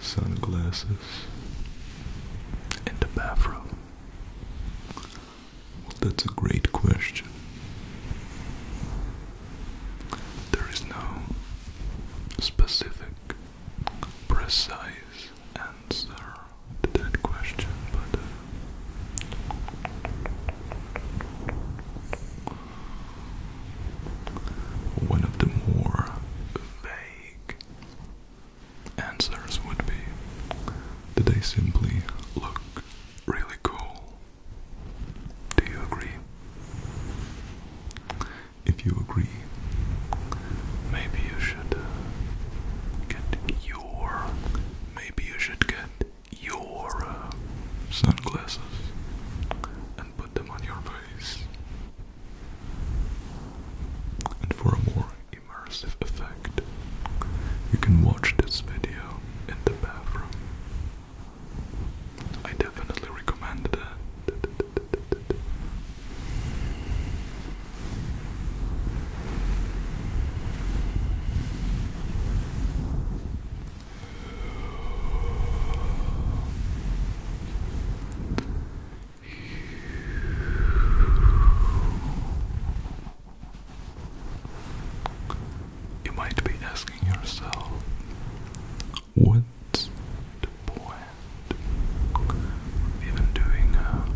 sunglasses, and a bathrobe? that's a great question. There is no specific, precise answer to that question, but uh, one of the more vague answers would be Do they simply look really cool. Do you agree? If you agree, maybe you should get your maybe you should get your sunglasses and put them on your face. And for a more immersive effect, you can watch this video in the bathroom. I definitely recommend that. You might be asking yourself, what's the point even doing a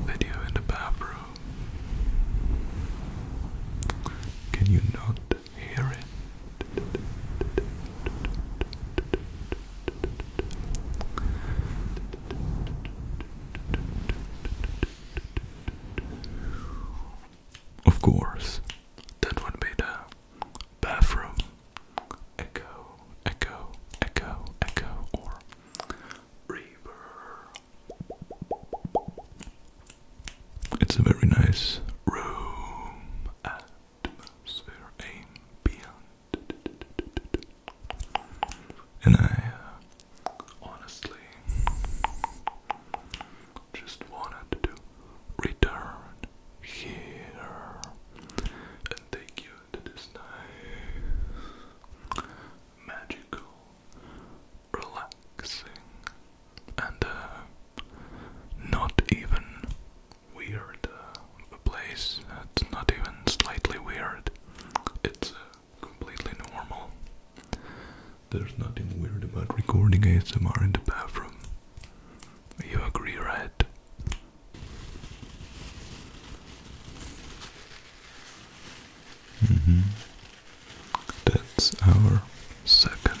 video in the bathroom? Can you not of course, that would be the bathroom echo, echo, echo, echo, or reverb. It's a very nice room to sphere aim beyond. And I uh, honestly just wanted to return here and take you to this nice, magical, relaxing and uh, not even weird uh, place. It's not even slightly weird. It's uh, completely normal. There's nothing weird about recording ASMR in the bathroom. You agree, right? Mm -hmm. That's our second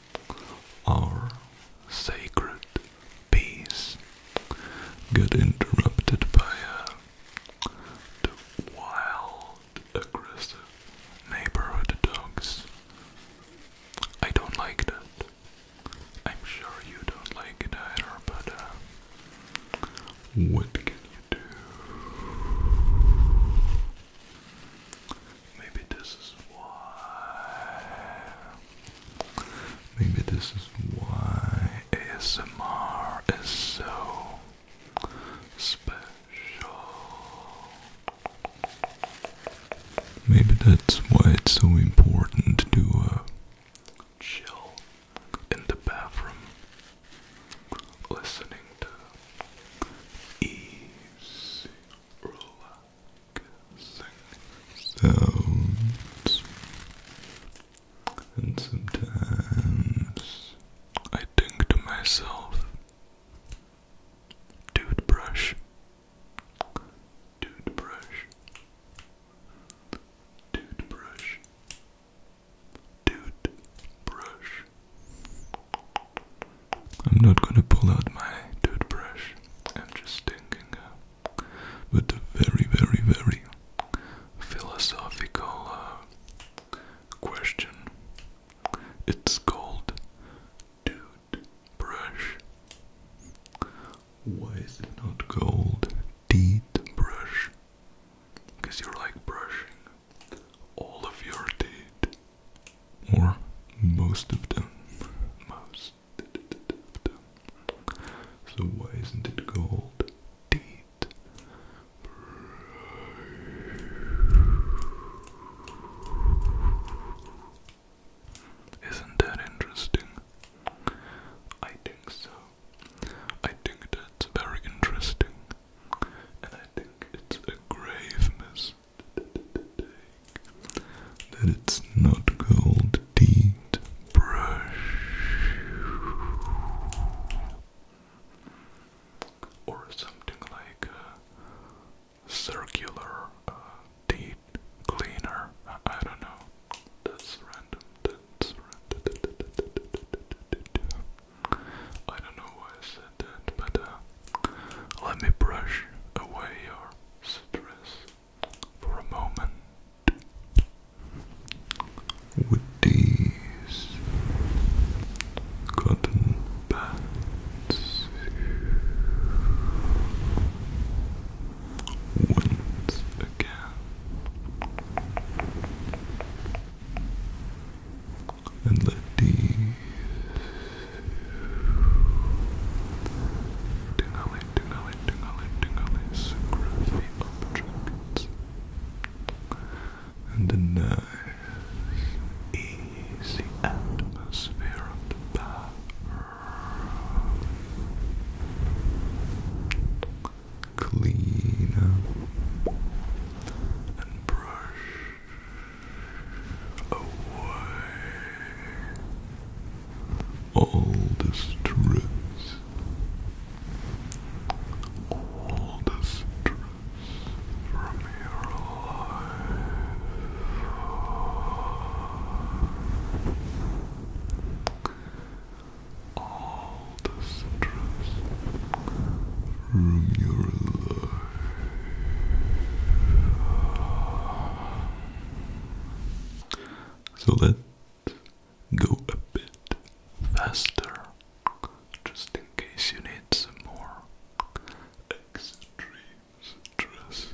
our sacred peace get interrupted by uh, wild, aggressive neighborhood dogs. I don't like that. I'm sure you don't like either, but uh, what can you do? Maybe this is why. Maybe this is why ASMR is so special. Maybe that's why it's so important to uh, chill in the bathroom, listening to easy sounds. And sometimes I think to myself, toothbrush, toothbrush, toothbrush, toothbrush, I'm not gonna pull out my toothbrush. I'm just thinking uh, a very, very, very philosophical uh, question. It's called toothbrush. Why is it not called teethbrush? Because you're like brushing all of your teeth or most of them. Most of them. So why isn't it called teeth? Isn't that interesting? I think so. I think that's very interesting. And I think it's a grave that it's not gold teeth brush or something like a circular uh, teeth cleaner. I, don't know. That's random. That's random. I don't know why but uh, let me brush away your stress for a moment with these cotton pads. Once again and let the tingly, tingly, tingly, tingly scruffy objects and the nice easy atmosphere of clean and brush away all the stress, all the stress from your life. All the stress so let's go a bit faster, just in case you need some more extreme stress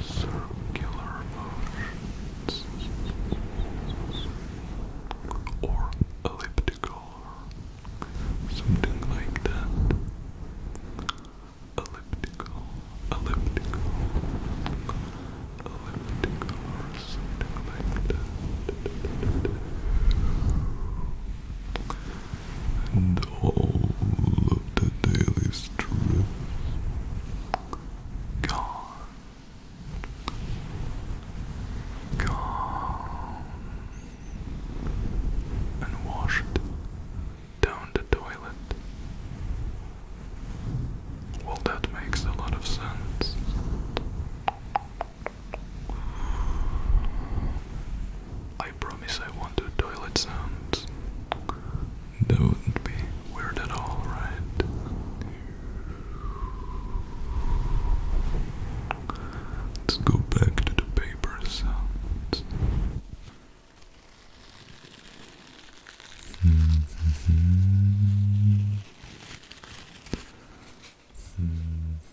circular motions or elliptical something like that. Elliptical, elliptical, elliptical, or something like that and all of the daily stress gone. Gone. And washed down the toilet. Well, that makes a lot of sense. I promise I want toilet sounds. That wouldn't be weird at all, right? Let's go back to the paper sounds. Mm-hmm. Mm-hmm. Mm-hmm.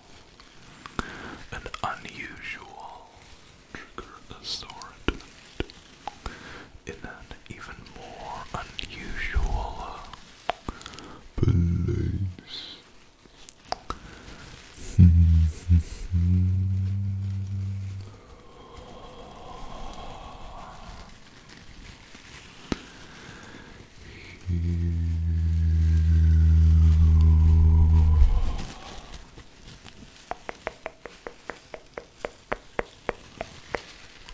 An unusual trigger assortment in an even more unusual uh, place.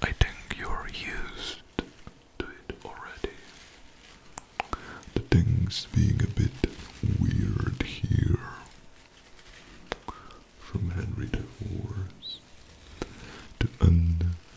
I think you're used to it already. The thing's being a bit weird here. From Henry the to Anne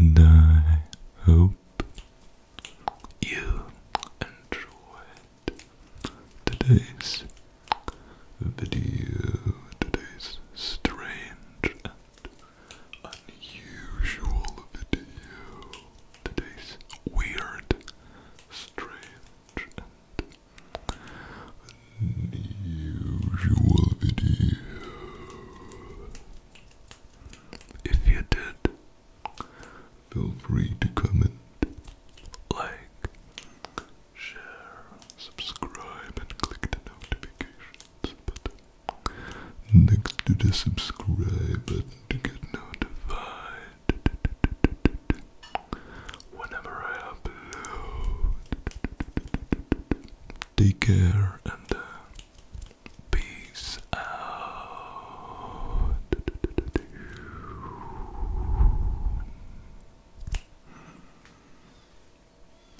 And I hope you enjoyed today's video, today's strange unusual video. Today's weird, strange, unusual video. If you did, feel free to comment, like, share, subscribe, and click the notifications button. Next to the subscribe button to get notified whenever I upload. Take care and uh, peace out.